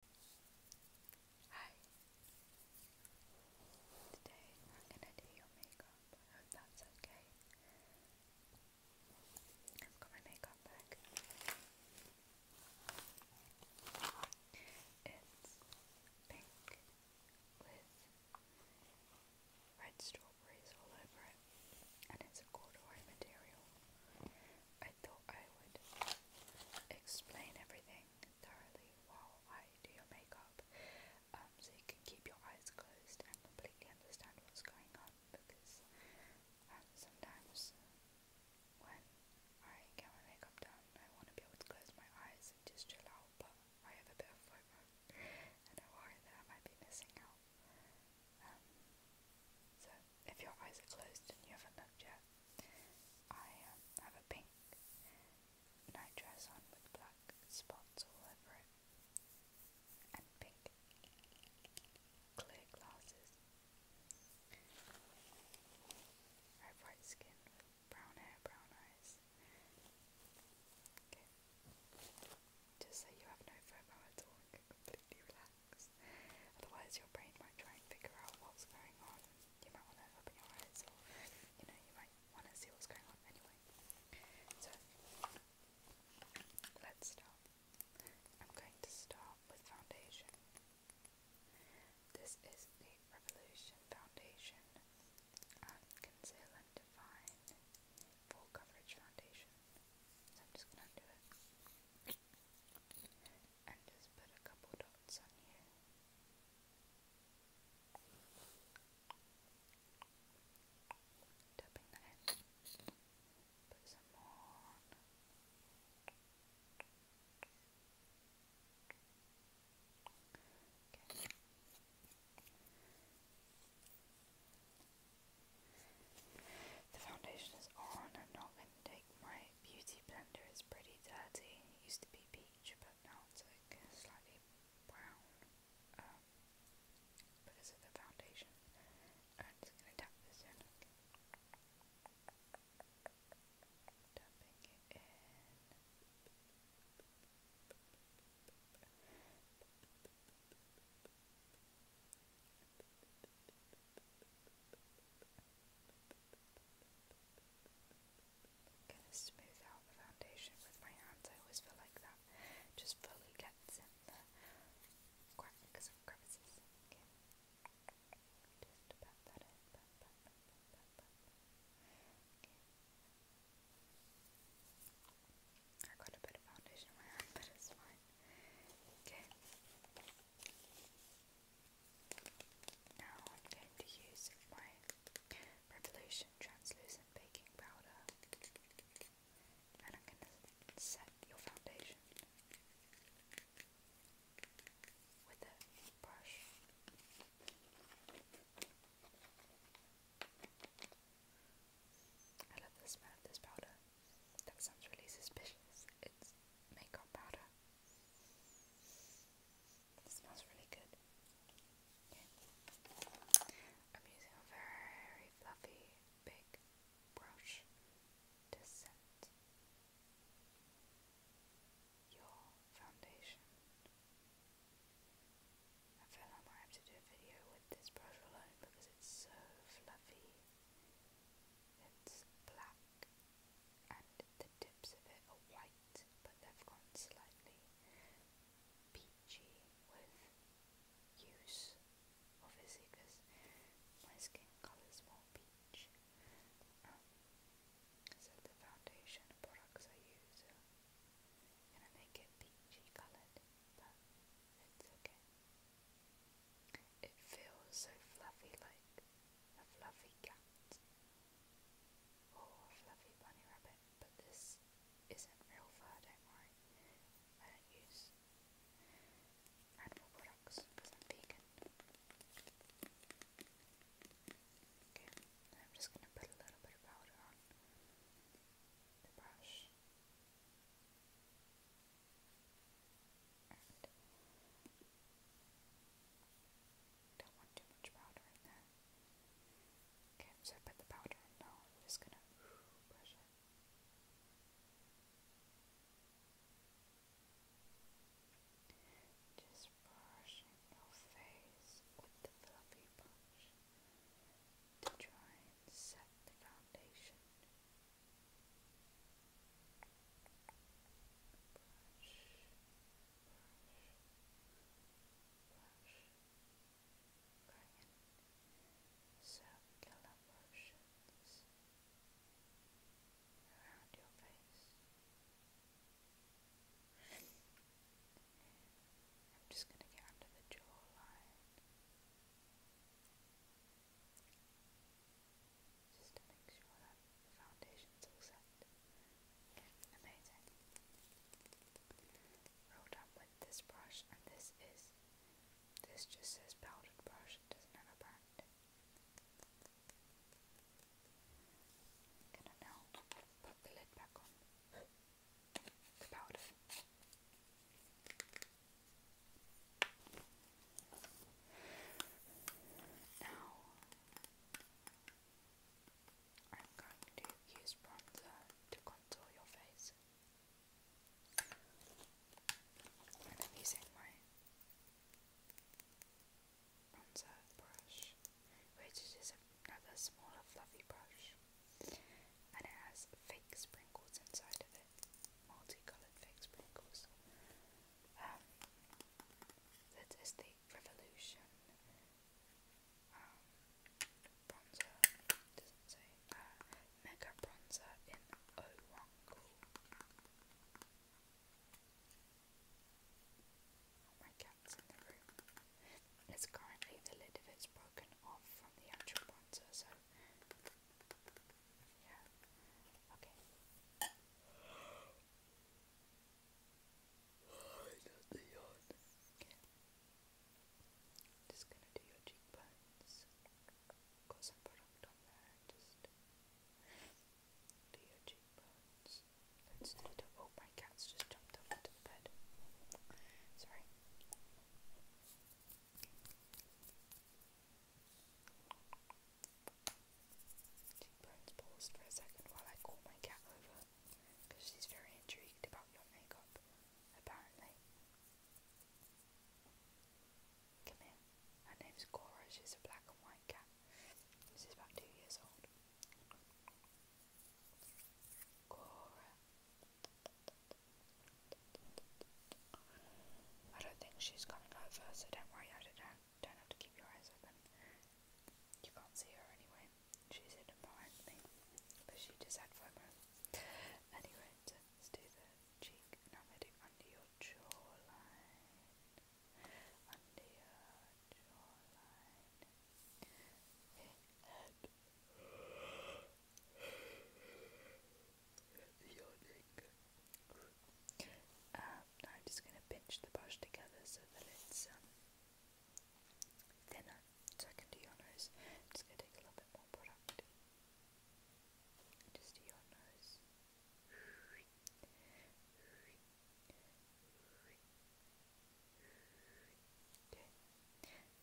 Hi! Today I'm gonna do your makeup. I hope that's okay. I've got my makeup bag. It's pink with red strawberries all over it, and it's a corduroy material. I thought I would explain everything thoroughly while I do your makeup, um, so you can keep your eyes closed and completely understand what's going on. Because um, sometimes when I get my makeup done, I want to be able to close my eyes and just chill out, but I have a bit of FOMO, and I worry that I might be missing out. Um, so if your eyes are closed and you haven't looked yet, I um, have a pink nightdress on with black spots all over it, and pink clear glasses. Very bright skin brown hair, brown eyes. Okay. Just so you have no FOMO at all and completely relax books. Otherwise, your brain might try and figure out what's going on. You might want to open your eyes, or you know, you might want to see what's going on anyway. So, let's start. I'm going to start with foundation. This is the Revolution Foundation um, Conceal and Define Full Coverage Foundation. So I'm just going to do it and just put a couple dots on here. Tapping that in. Put some more The foundation is on. I'm not going to take my Beauty Blender is pretty dirty. It used to be peach, but now it's like slightly brown um, because of the foundation. I'm just going to tap this in. Tapping in. Gonna smooth out the foundation with my hands. I always feel like that just fully gets in the cracks crevices. Okay. I got a bit of foundation in my hand, but it's fine. Okay. Now I'm going to use my Revolution translucent baking powder and I'm going to set your foundation with a brush. I love the smell of this powder. That sounds really suspicious makeup powder. smells really good. using a very fluffy, big brush to set your foundation. I feel I might have to do a video with this brush alone because it's so fluffy. It's black and the tips of it are white, but they've gone slightly peachy with use, obviously, because my skin colour is more peach. Um, so the foundation products I use are going make it peachy coloured, but it's okay. It feels so fluffy like a fluffy cat or a fluffy bunny rabbit, but this isn't real fur, don't worry. I don't use animal products because I'm vegan. I'm just going to put a little bit of powder on the brush. And don't want too much powder in there. Okay, so I put the powder in I'm just gonna brush it. Just brushing your face with the fluffy brush try and set the foundation circular motions around your face. I'm just going to get under the jawline just to make sure that the foundation's all set. Okay, amazing. Roll down with this brush, and this is, this just says powdered brush, it doesn't have a brand. Can now put the lid back on? The now I'm going to use bronzer to contour your face. And I'm using my bronzer brush, which is another smaller fluffy brush, and it has fake sprinkles inside of it, multicolored fake sprinkles um, that is the Revolution bronzer, say, mega bronzer in 01 Oh, my cat's in the room. It's currently the lid of it's broken off from the actual bronzer, so yeah. Okay. your cheekbones. Got some product on there. Just your cheekbones. Oh, my cat's just jumped up onto the bed. Sorry. She paused for a second while I call my cat over, because she's very intrigued about your makeup, apparently. Come here. Her name's Cora. She's a black and white cat. She's about two years old. Cora. I don't think she's coming over, so don't worry, I don't have to keep your eyes open. You can't see her anyway. She's hidden behind me, but she just had FOMO. Anyway, do the cheek, and do under your jawline. Under your jawline. Okay, and yawning. Um, I'm just going to pinch the brush together so that it's um, thinner, so I your nose. just going a little bit more product. Just do your nose.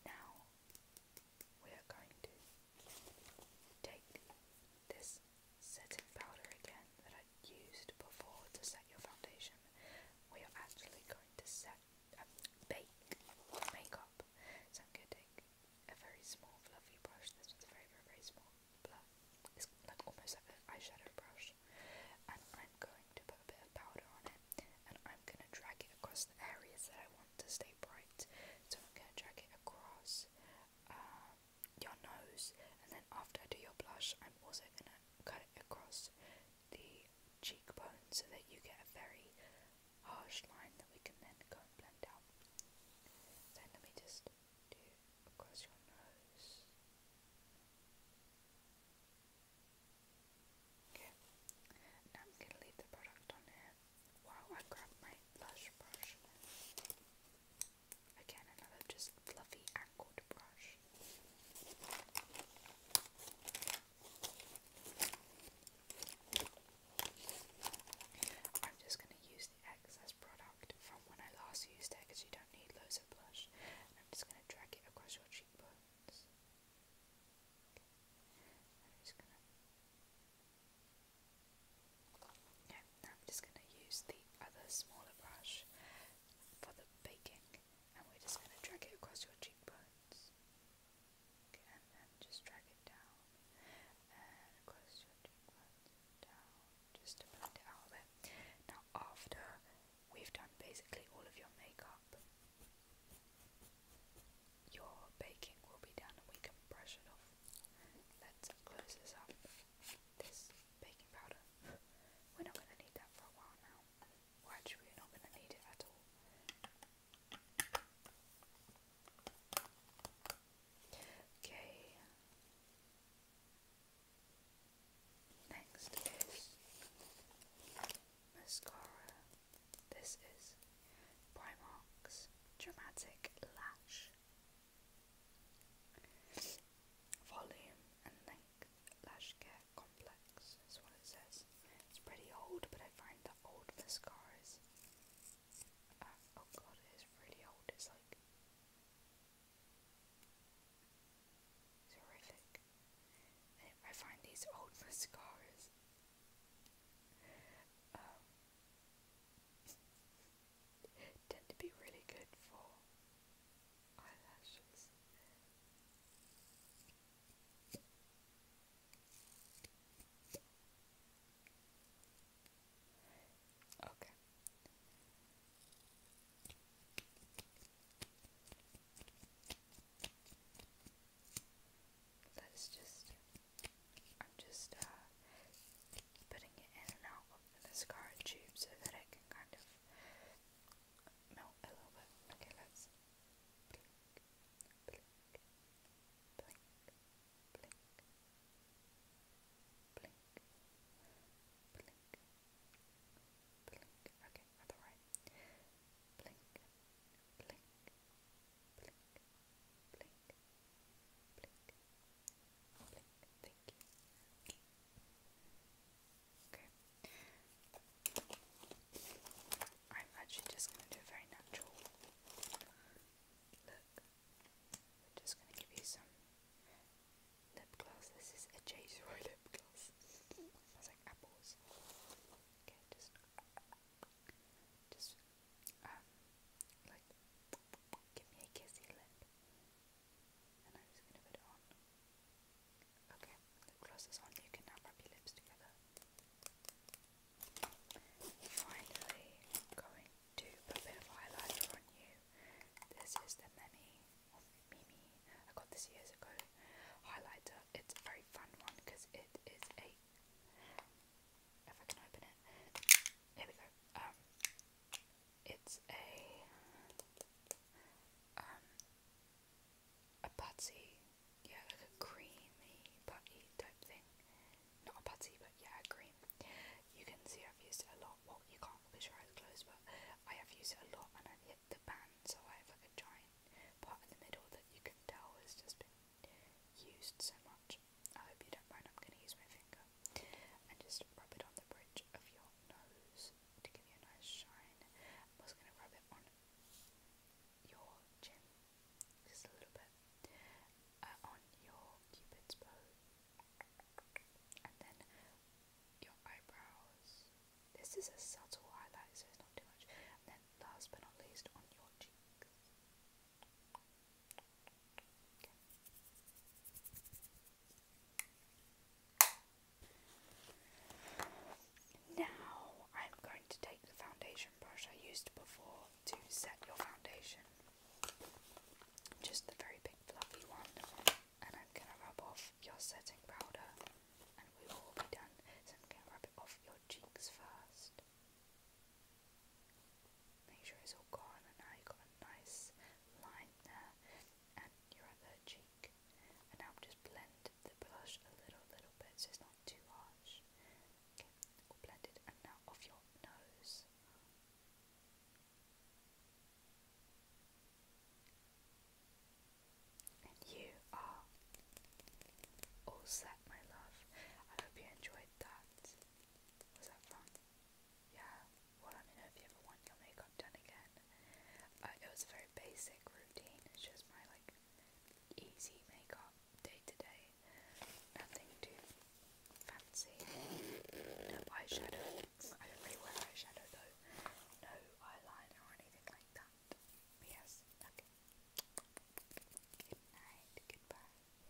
Now we are going to take this setting powder again that I used before to set your foundation. We are actually going to set um, bake makeup. So i a very small fluffy brush. This one's very very very small. It's like almost like an eyeshadow brush. And I'm going to put a bit of powder on it. And I'm going to drag it across the areas that I want to stay bright. So I'm going to drag it across. Um, your nose, and then after I do your blush, I'm also gonna cut it across the cheekbone so that you get a very harsh line that we can then go and blend out. Then let me just do across your nose. Okay, now I'm gonna leave the product on here while I grab my blush brush. Again, another just fluffy angled brush. I'm just going to use the excess product from when I last used it because you don't need loads of blush. And I'm just going to drag it across your cheekbones. Now I'm just going to use the other smaller brush for the baking and we're just going to drag it across your cheekbones. and then just drag it down across your cheekbones down just to blend it out a bit. Now after we've done basically all of your makeup, your baking will be done and we can brush it off. Let's close this up this baking powder. We're not going to need that for a while now. actually, we're not going to need it at all. Okay. Next is mascara. This is Primark's Dramatic Lash Volume and length lash care complex is what it says. It's pretty old, but I find the old mascara is. Uh, oh god, it is really old. It's like. horrific. I find these old mascaras tend to be really good for eyelashes. Okay. Let's just I'm just putting it in and out of the mascara tube so that it can kind of melt a little bit. Okay, let's blink, blink, blink, blink, blink, blink, Okay, I thought Blink, blink, blink, blink, blink, Thank you. I'm actually just going to do a very natural look. just going to give you some lip gloss. This is a Jay's lip gloss. smells like apples. Okay, just, just um, like, give me a kissy lip, and I'm just gonna put it on. Okay, the gloss is on, you can now rub your lips together. Finally, going to put a bit of highlighter on you. This is the Memi, Mimi, I got this years ago, highlighter. It's a very fun one because it is a if I can open it. Here we go. Um, it's a um a patsy, yeah, like a creamy patty type thing. Not a patty, but yeah, a cream. You can see I've used it a lot. Well, you can't because your eyes closed, but I have used it a lot, and I've hit the pan, so I have like a giant part in the middle that you can tell has just been used so much. I hope you don't mind, I'm going to use my finger. And just rub it on the bridge of your nose to give you a nice shine. I'm also going to rub it on your chin, just a little bit. Uh, on your cupid's bow. And then your eyebrows. This is a subtle highlight, so it's not too much. And then last but not least, on your cheeks. Now I'm going to take the foundation brush I used before to set your foundation, just the very big fluffy one, and I'm going to rub off your setting powder and we will be done. So I'm going to rub it off your cheeks first. Make sure it's all gone and now you've got a nice line there and your other cheek. And now just blend the blush a little little bit so it's not too harsh. Okay, all blended and now off your nose. And you are all set, my love. I hope you enjoyed that. Was that fun? yeah, well let me if you ever want your makeup done again. Uh, it was a very basic routine, it's just my like easy makeup day to day. Nothing too fancy. No eyeshadow. I don't really wear eyeshadow though. No eyeliner or anything like that. yes, okay. goodbye.